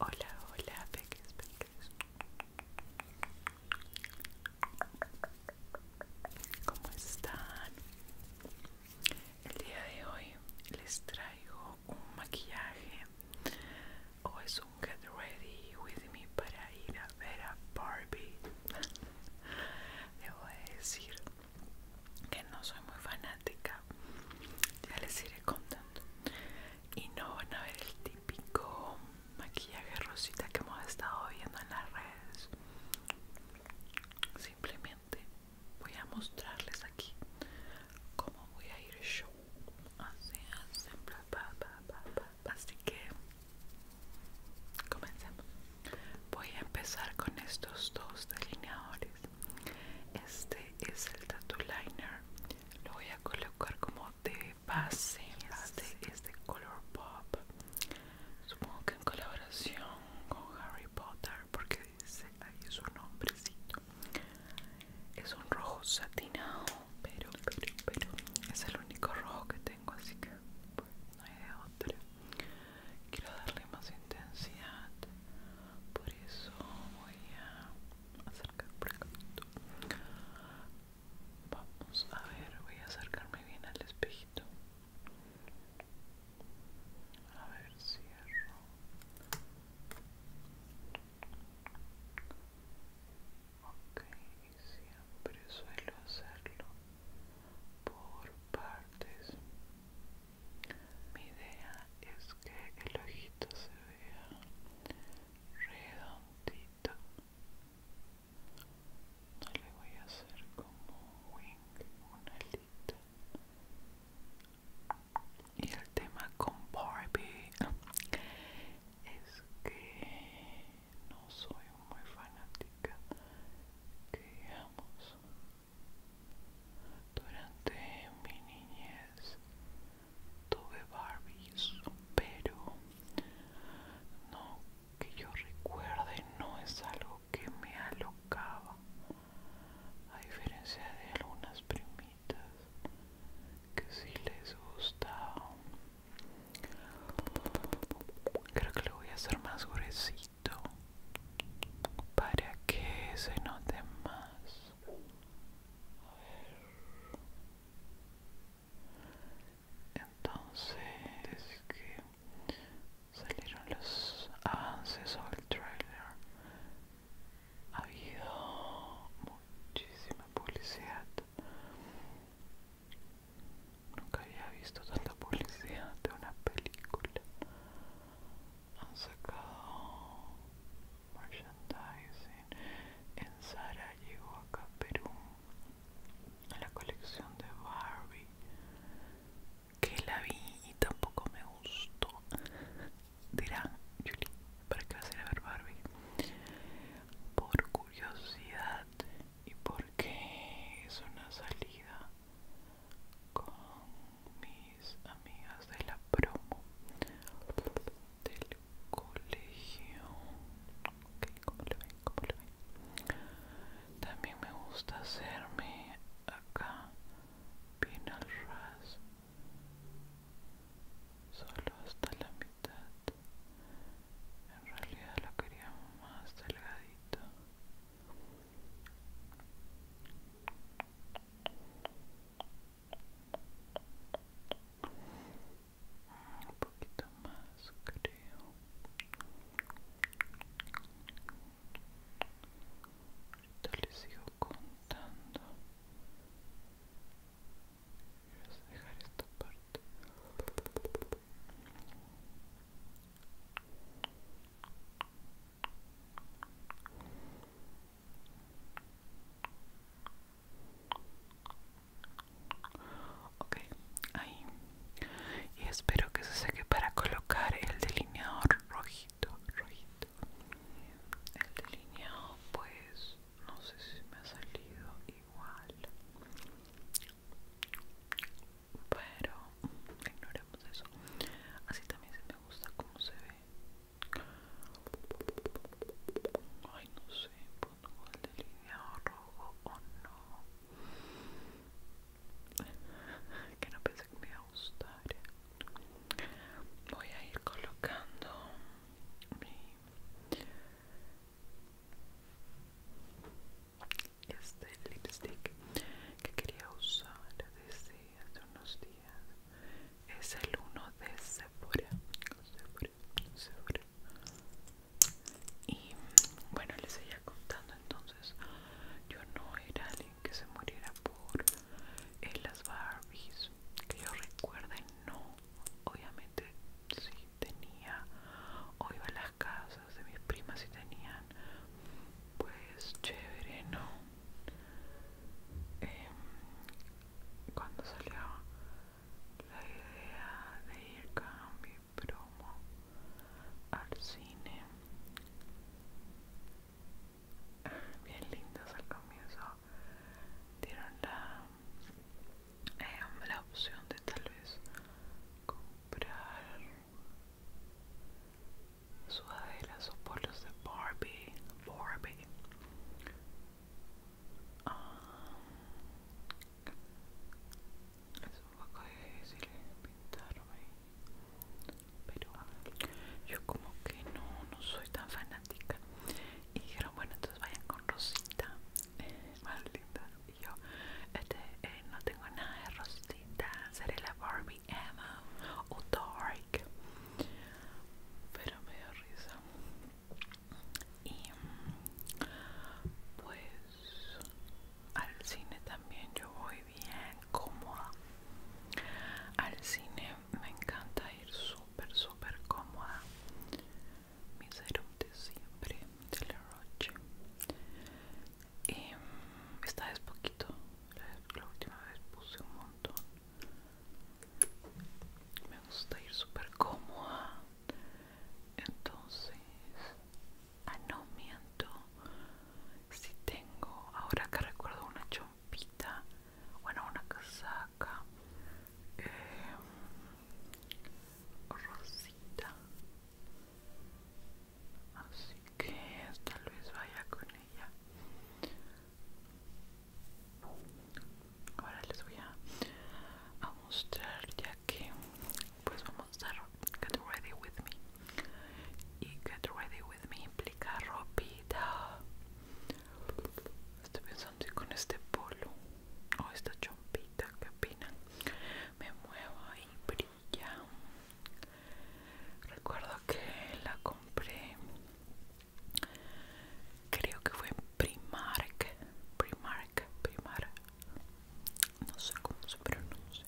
Hola, hola, peques, peques. ¿Cómo están? El día de hoy les traigo un maquillaje o es un get ready with me para ir a ver a Barbie. debo a decir que no soy muy fanática ya les iré contando y no van a ver el típico maquillaje rosita que hemos estado viendo en las redes simplemente voy a mostrarles aquí cómo voy a ir yo así que Comencemos. Voy a empezar con estos dos delineadores. Este es el Tattoo Liner. Lo voy a colocar como de base. Este es de Color Pop. Supongo que en colaboración con Harry Potter, porque dice ahí su nombrecito. Es un rojo satinado, pero, pero, pero es el único rojo que tengo, así que no hay de otra quiero darle más intensidad por eso voy a acercar por vamos a ver voy a acercarme bien al espejito a ver cierro ok siempre suelo hacerlo por partes. Mi idea es que el ojito se vea redondito. No le voy a hacer como un wing, una alita. Y el tema con Barbie es que no soy muy fanática que digamos durante mi niñez tuve Barbies pero no que yo recuerde no es algo que me alocaba a diferencia de algunas primitas que si les gustaba creo que lo voy a hacer más gruesito para que se note más. A ver. Entonces, que salieron los avances o el trailer, ha habido muchísima publicidad Nunca había visto tanta publicidad de una película. Han sacado merchandising. En Sara llegó acá a Perú la colección de Barbie que la vi y tampoco me gustó. Dirán, Julie, ¿para qué vas a ir a ver Barbie? Por curiosidad y porque es una salida con mis amigas de la promo del colegio okay, ¿cómo lo ven? ¿Cómo lo ven? también me gusta hacerme acá bien al ras solo hasta la mitad en realidad lo quería más delgadito un poquito más, creo. Ahorita les sigo contando. Voy a dejar esta parte. Okay, ahí. Y espero que se seque para colocar el delineador rojito, rojito. El delineado, pues, no sé si me ha salido igual pero ignoremos eso. Así también se me gusta como se ve. Ay, no sé, pongo el delineado rojo o no. Que no pensé que me iba a gustar. Voy a ir colocando mi este lipstick que quería usar desde hace unos días es el uno de Sephora, Sephora, Sephora. y bueno les seguía contando entonces yo no era alguien que se muriera por eh, las Barbies que yo y no obviamente sí tenía o iba a las casas de mis primas y tenían pues chévere, ¿no? Em, cuando salió la idea de ir con mi promo al cine, bien lindos al comienzo, dieron la, em, la opción de tal vez comprar sudaderas o polos de Barbie, Barbie. eso es un poco difícil pintarme, pero yo como que no, soy tan fanática. Y dijeron, bueno, entonces vayan con Rosita, eh, más linda. Y yo, este, eh, no tengo nada de Rosita, seré la Barbie. Emma o Dark pero me da risa y pues al cine también yo voy bien cómoda al cine me encanta ir súper súper cómoda mi serum de siempre de la Roche y mm, esta vez poquito la, última vez puse un montón me gusta ir súper cómoda entonces ah no miento si tengo ahora que recuerdo una chompita bueno una casaca eh, rosita así que tal vez vaya con ella ahora les voy a, mostrar ya que pues vamos a dar get ready with me y get ready with me implica ropita estoy pensando si con este polo o esta chompita que pena me muevo ahí recuerdo que la compré creo que fue en Primark Primark Primark no sé cómo se pronuncia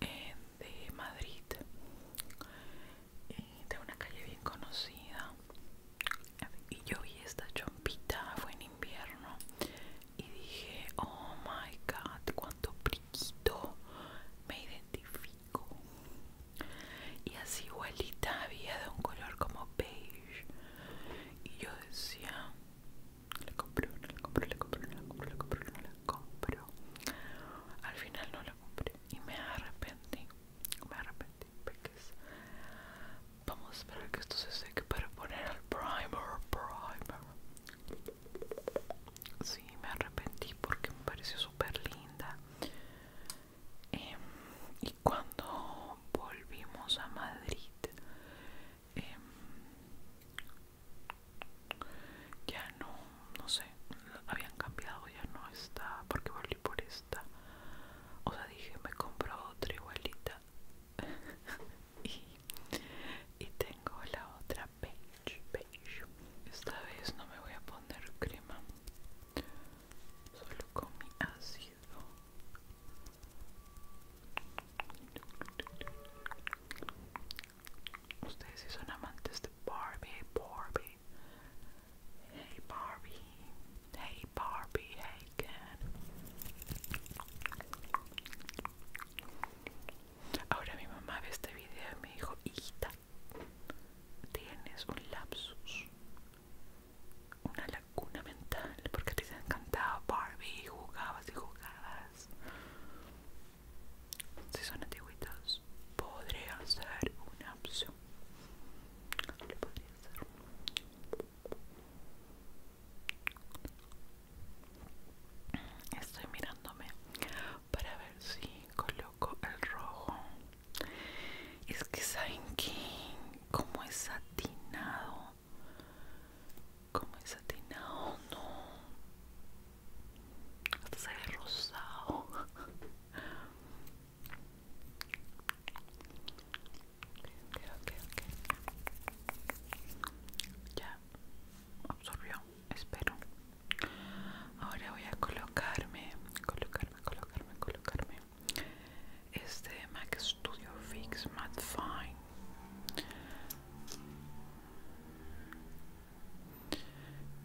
eh, de Madrid eh, de una calle bien conocida y yo vi esta chompita fue en invierno y dije, oh my god, cuánto priquito, me identifico. Y así igualita había de un color como beige. Y yo decía, le compré no le compré, le compré le compré, le compré compro. Al final no la compré y me arrepentí, me arrepentí porque Vamos a esperar que esto se seque para poner el primer, primer. Sí, me arrepentí porque me pareció súper linda. Em, y cuando volvimos a Madrid, em, ya no, no sé, habían cambiado, ya no está, porque volví por esta. O sea, dije, me compro otra igualita. y tengo la otra, This beige. Esta vez no me voy a poner crema, solo con mi ácido. Ustedes si son amantes Barbie, Barbie. Hey Barbie, hey Barbie, hey Ken. Ahora mi mamá ve este video y me dijo, hijita, tienes un lapsus, una lacuna mental, porque te encantaba Barbie, jugabas y jugabas. Si son antiguitos, podría ser una opción. Estoy mirándome para ver si coloco el rojo. Es que saben que como es satinado, como es satinado, no. Hasta se ve rosado. Ya absorbió, espero. Ahora voy a colocarme, colocarme, colocarme, colocarme este Mac Studio Fix Matte Fine.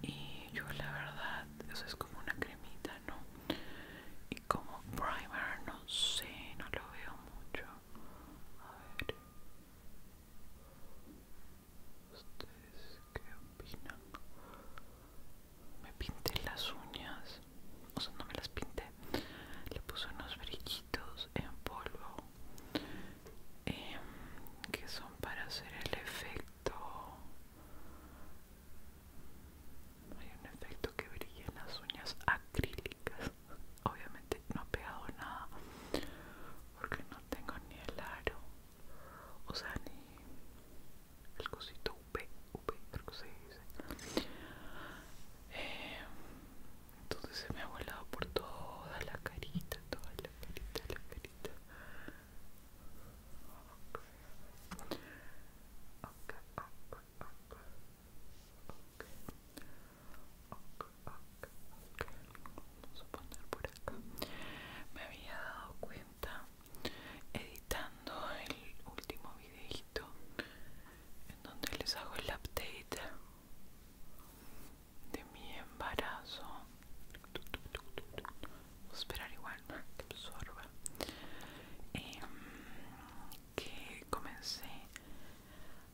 Y yo la verdad, eso es como una cremita, ¿no? Y como primer, no sé, no lo veo mucho. A ver. ¿Ustedes qué opinan? Me pinté las uñas, o sea, no me las pinté, le puse unos brillitos en polvo em, que son para hacer el efecto. Hay un efecto que brilla en las uñas acrílicas, obviamente no ha pegado nada porque no tengo ni el aro o sea ni el cosito UP, UP creo que se dice entonces se me ha volado por toda la carita toda la carita, la carita Okay, me había dado cuenta editando el último videito en donde les hago el update de mi embarazo. Vamos a esperar igual que absorba. Em, que comencé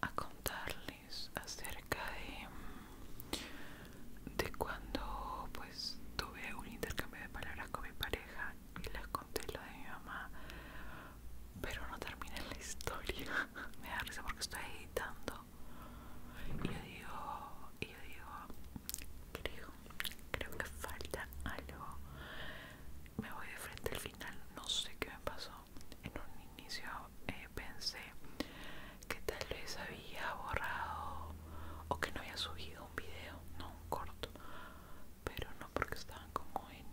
a contarle acerca de, mm, de cuando pues tuve un intercambio de palabras con mi pareja y les conté lo de mi mamá pero no terminé la historia me da risa porque estoy editando y yo digo digo creo creo que falta algo me voy de frente al final no sé qué me pasó en un inicio eh, pensé que tal vez había borrado o que no había subido un video, no un corto, pero no porque estaban como en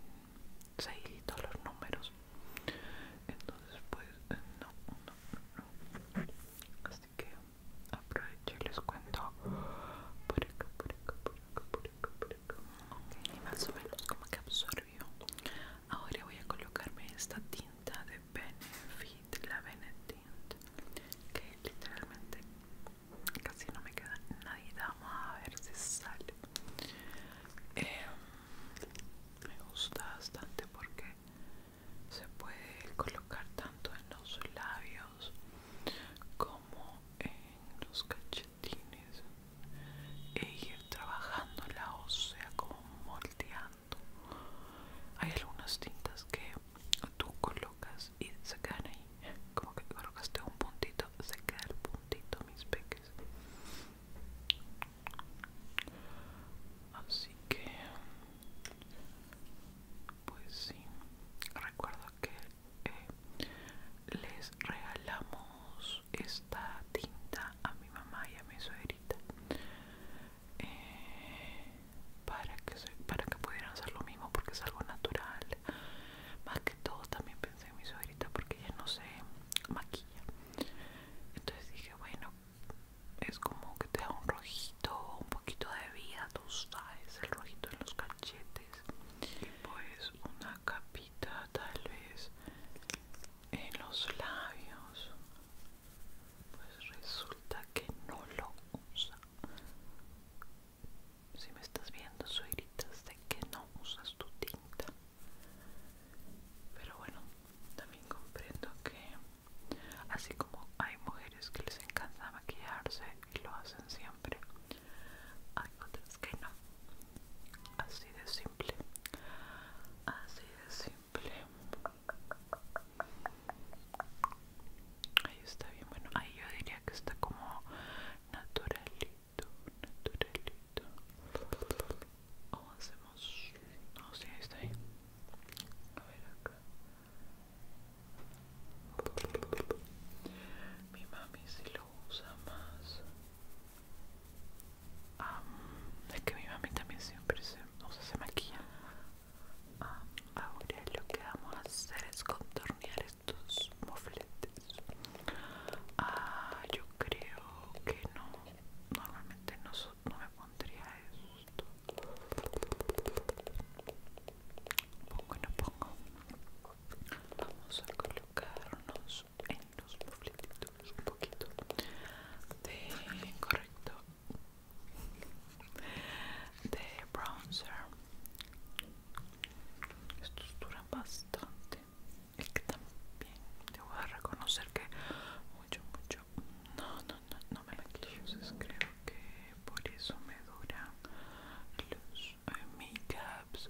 seguiditos los números. Entonces pues eh, no, no, no, Así que aprovecho y les cuento por acá, por acá, por acá, por acá, por acá. Okay, y más o menos como que absorbió. Ahora voy a colocarme esta tinta de Benefit, la Benetint, que literalmente casi no me queda nadie Vamos a ver si sale. Em, me gusta bastante porque se puede colocar tanto en los labios como en los cachetines e ir trabajando la sea como moldeando hay algunas tintas que tú colocas y se quedan ahí como que colocaste un puntito se queda el puntito mis peques así que pues sí recuerdo que eh, les regalamos esta tinta a mi mamá y a mi suegrita eh, para, que para que pudieran hacer lo mismo porque es algo natural más que todo también pensé en mi sobrita porque ella no se maquilla entonces dije bueno es como que te da un rojito un poquito de vida tú sabes el rojito en los cachetes y pues una capita tal vez en los labios pues resulta que no lo usa. Si me estás viendo, suegritas, de que no usas tu tinta. Pero bueno, también comprendo que así como hay mujeres que les encanta maquillarse y lo hacen siempre, hay otras que no. Así de simple. Así de simple. Ahí está bien, bueno, ahí yo diría que está como naturalito, naturalito. O hacemos... No, si ahí está bien A ver acá. Mi mami si lo usa más. Ah, es que mi mami también siempre se, o se maquilla Ah, ahora lo que vamos a hacer es contornear estos mofletes. Ah, yo creo que no. Normalmente no, me pondría esto. Bueno, pongo. Vamos a colocarnos en los mofletitos un poquito de correcto de bronzer estos duran bastante y que también Te voy a reconocer que mucho mucho no no no no me maquillo entonces creo que por eso me duran los eh, makeups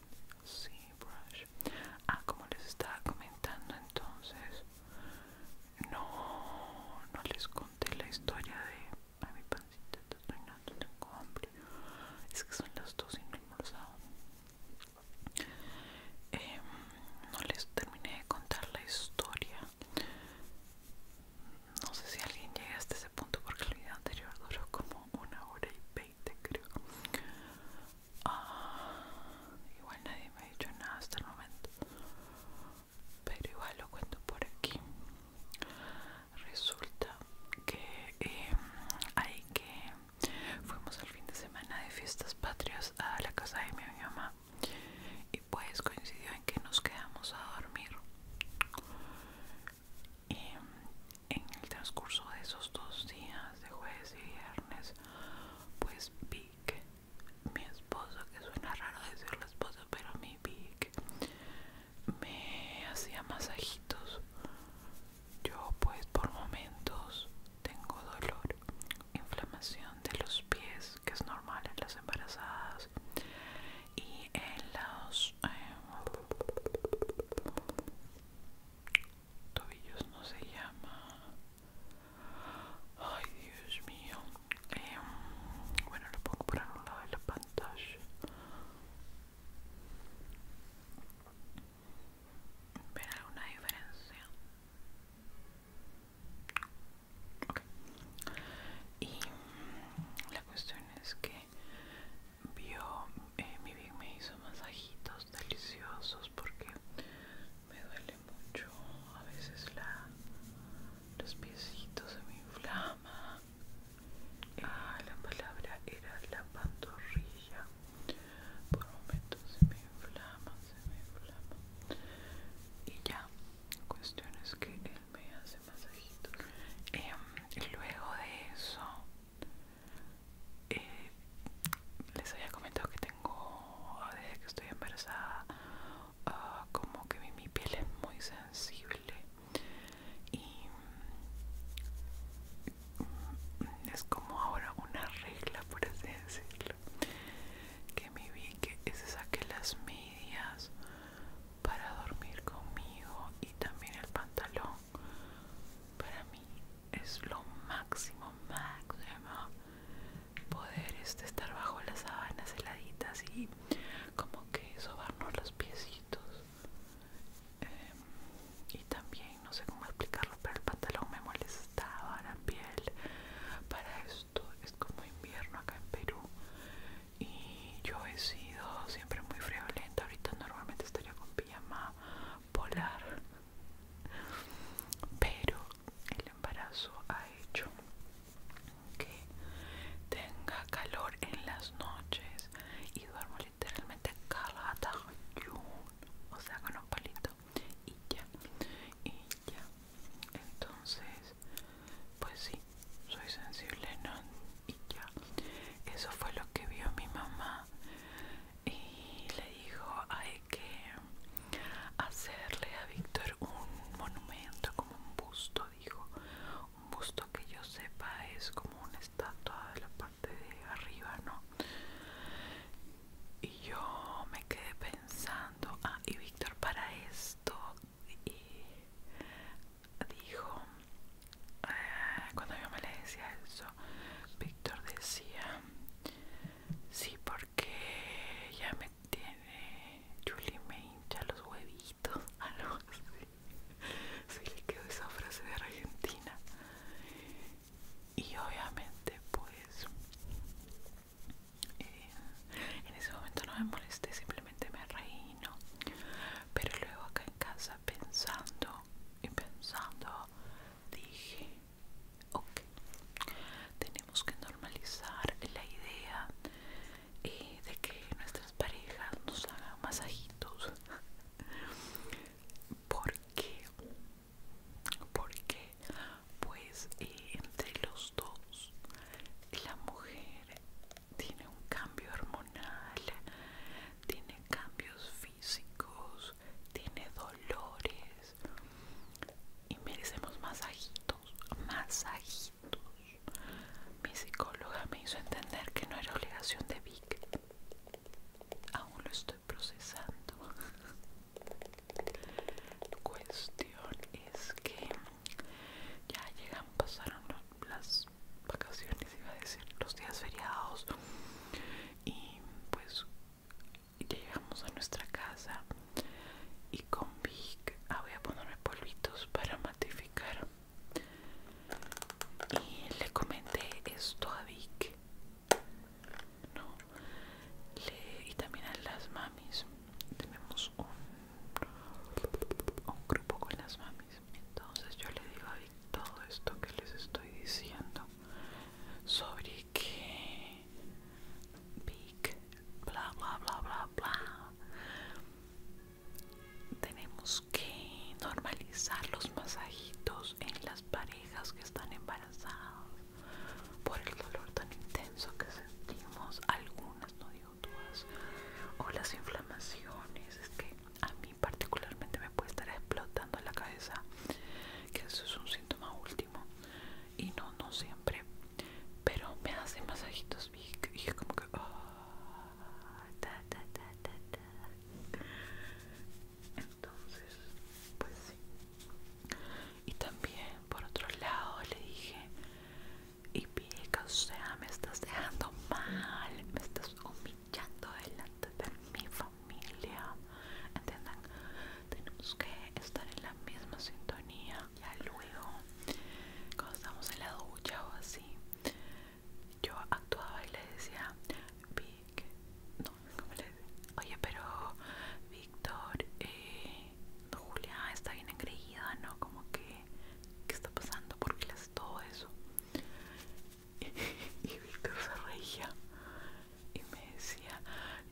brush. Ah, como les estaba comentando entonces, no, no les conté la historia de... mi pancita tengo hambre. Es que son las dos y no he almorzado. Em, no les terminé de contar la historia. No sé si alguien llega hasta ese punto porque el video anterior duró como una hora y veinte creo. Ah, igual nadie me ha dicho nada hasta el momento. Pero igual lo cuento por aquí. Resulta que ahí em, hay que fuimos al fin de semana de fiestas patrias a la casa de mi mamá y pues coincidió en que nos quedamos a dormir. Y em, en el transcurso de esos dos días, de jueves y viernes, pues Vic, mi esposo, que suena raro la esposo, pero mi Vic me hacía masajitos. Yo pues por momentos tengo dolor, inflamación de los pies, que es normal en las embarazadas, y en los em, tobillos no se llama Ay, Dios mío. Em, bueno, lo pongo por algún lado de la pantalla. ¿Ven alguna diferencia? Ok. Y mm, la cuestión es que vio, eh, mi bien me hizo masajitos deliciosos porque me duele mucho a veces la los piecitos se me inflama ah, la palabra era la pantorrilla por momentos se me inflama se me inflama y ya cuestión es que él me hace masajitos em, y luego de eso eh, les había comentado que tengo, desde que estoy embarazada, ah, como que mi, piel es muy sensible y mm, es como ahora una regla, por así decirlo, que me vi que se saque las medias para dormir conmigo y también el pantalón para mí es lo máximo, máximo poder este, estar bajo las sábanas heladitas y como que sobarnos los piecitos. Em, y también, no sé cómo explicarlo, pero el pantalón me molestaba la piel. Para esto es como invierno acá en Perú. Y yo he sido siempre muy friolenta. Ahorita normalmente estaría con pijama polar. Pero el embarazo ha hecho que tenga calor en las noches y duermo literalmente calada o sea con un palito y ya y ya entonces pues sí soy sensible no y ya eso fue lo que vio mi mamá y le dijo hay que hacerle a Víctor un monumento como un busto dijo un busto que yo sepa es como una estatua de la parte de arriba no y yo me quedé pensando ah y Víctor para esto y dijo eh, cuando yo me le decía eso Víctor decía Sí, porque ya me tiene. Julie me hincha los huevitos. Algo ah, así. Sí, le quedó esa frase de Argentina. Y obviamente, pues. Eh, en ese momento no me molesté, simplemente me reí, ¿no? Pero luego acá en casa pensando y pensando, dije, Ok, tenemos que normalizar la idea eh, de que nuestras parejas nos hagan masajitos. ¿Por qué? Porque, pues, eh, entre los dos, la mujer tiene un cambio hormonal, tiene cambios físicos, tiene dolores, y merecemos masajitos, masajitos. Mi psicóloga me hizo entender que no era obligación de Vic. Aún lo estoy procesando. la Cuestión es que ya llegan, pasaron las vacaciones, iba a decir, los días feriados. Y pues llegamos a nuestra casa y con Vic ah, voy a ponerme polvitos para matificar y le comenté esto a Vic no y también a las mamis tenemos un, un grupo con las mamis entonces yo le digo a Vic todo esto que les estoy diciendo sobre que big, bla bla bla bla bla. Tenemos que normalizar los masajitos en las parejas que están embarazadas por el dolor tan intenso que sentimos, algunas, no digo todas, o las inflamaciones. Es que a mí, particularmente, me puede estar explotando la cabeza, que eso es un síntoma último y no, no siempre, pero me hace masajitos y, dije como que... Ah, Entonces, pues sí. Y también, por otro lado, le dije, y pica, o sea, me estás dejando mal, me estás humillando delante de mi familia. ¿Entiendan? Tenemos que estar en la misma sintonía. Ya luego, cuando estamos en la ducha o así, yo actuaba y le decía, Vic, no, como le decía? Oye, pero Víctor, eh, Julia está bien engreída, ¿no? Como que, ¿qué está pasando? ¿Por qué le hace todo eso? y Víctor se reía y me decía,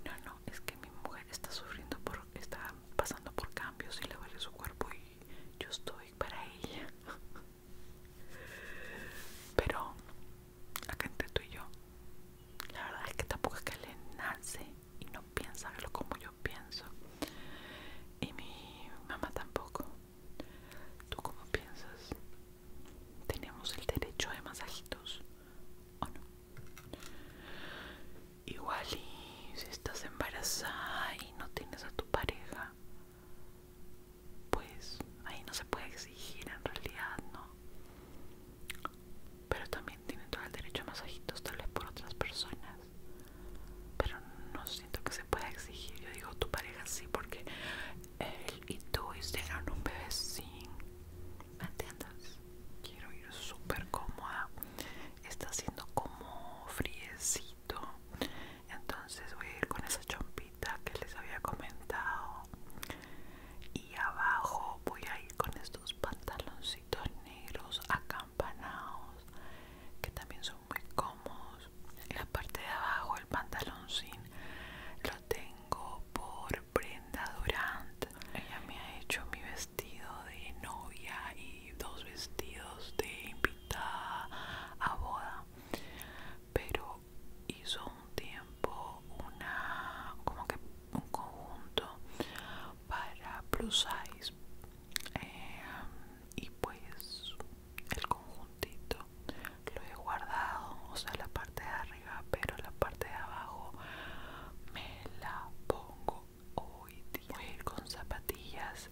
no, no, es que mi mujer está sufriendo, por, está pasando por cambios y le duele su cuerpo y yo estoy para ella. Pero acá entre tú y yo, la verdad es que tampoco es que le nace y no piensa como yo pienso. Y mi mamá tampoco. ¿Tú cómo piensas? ¿Tenemos el derecho de masajitos o no? Igual y si estás embarazada y no tienes a tu pareja, pues ahí no se puede exigir en realidad, ¿no? Pero también tienen todo el derecho a masajitos tal vez por otras personas. Pero no siento que se pueda exigir. Yo digo tu pareja sí porque él y tú hicieron un bebé sin. ¿Me entiendes? quiero ir súper cómoda está haciendo como friecito entonces voy a ir con esa chompita que les había comentado y abajo voy a ir con estos pantaloncitos negros acampanados que también son muy cómodos en la parte de abajo el pantaloncín lo tengo por prenda Durant. Ella me ha hecho mi vestido de novia y dos vestidos de invitada a boda. Pero hizo un tiempo una como que un conjunto para plus size eh, y pues el conjuntito lo he guardado o sea la parte de arriba pero la parte de abajo me la pongo hoy día voy con zapatillas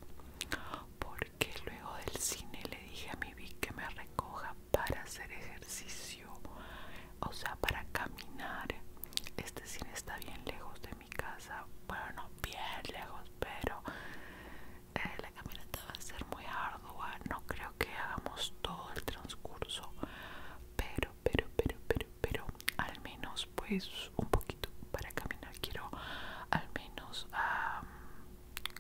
porque luego del cine le dije a mi Vic que me recoja para hacer ejercicio o sea para caminar este cine está bien lejos de mi casa bueno bien lejos pero eh, la caminata va a ser muy ardua no creo que hagamos todo el transcurso pero pero, pero, pero, pero, al menos pues un poquito para caminar. Quiero al menos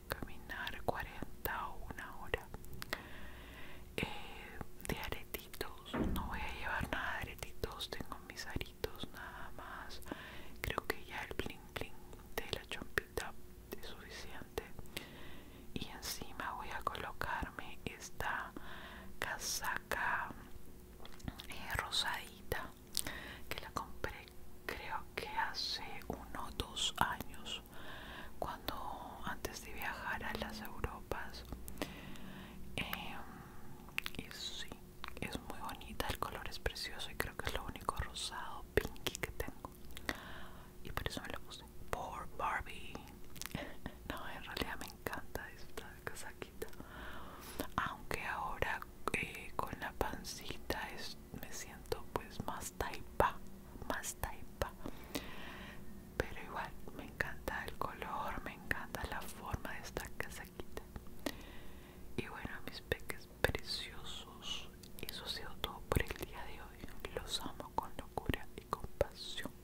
caminar 40 o una hora. Eh, de aretitos, no voy a llevar nada de aretitos, tengo mis aritos nada más. Creo que ya el bling bling de la chompita es suficiente. Y encima voy a colocar esta casaca eh, rosadita que la compré creo que hace uno o dos años cuando antes de viajar a las Europas em, y sí es muy bonita el color es precioso y creo que es lo único rosado pinky que tengo y por eso me lo puse por Barbie no en realidad me encanta esta casaquita aunque ahora eh, con la pancita me siento pues más taipa más taipa pero igual me encanta el color me encanta la forma de esta casaquita y bueno mis peques preciosos eso ha sido todo por el día de hoy los amo con locura y con pasión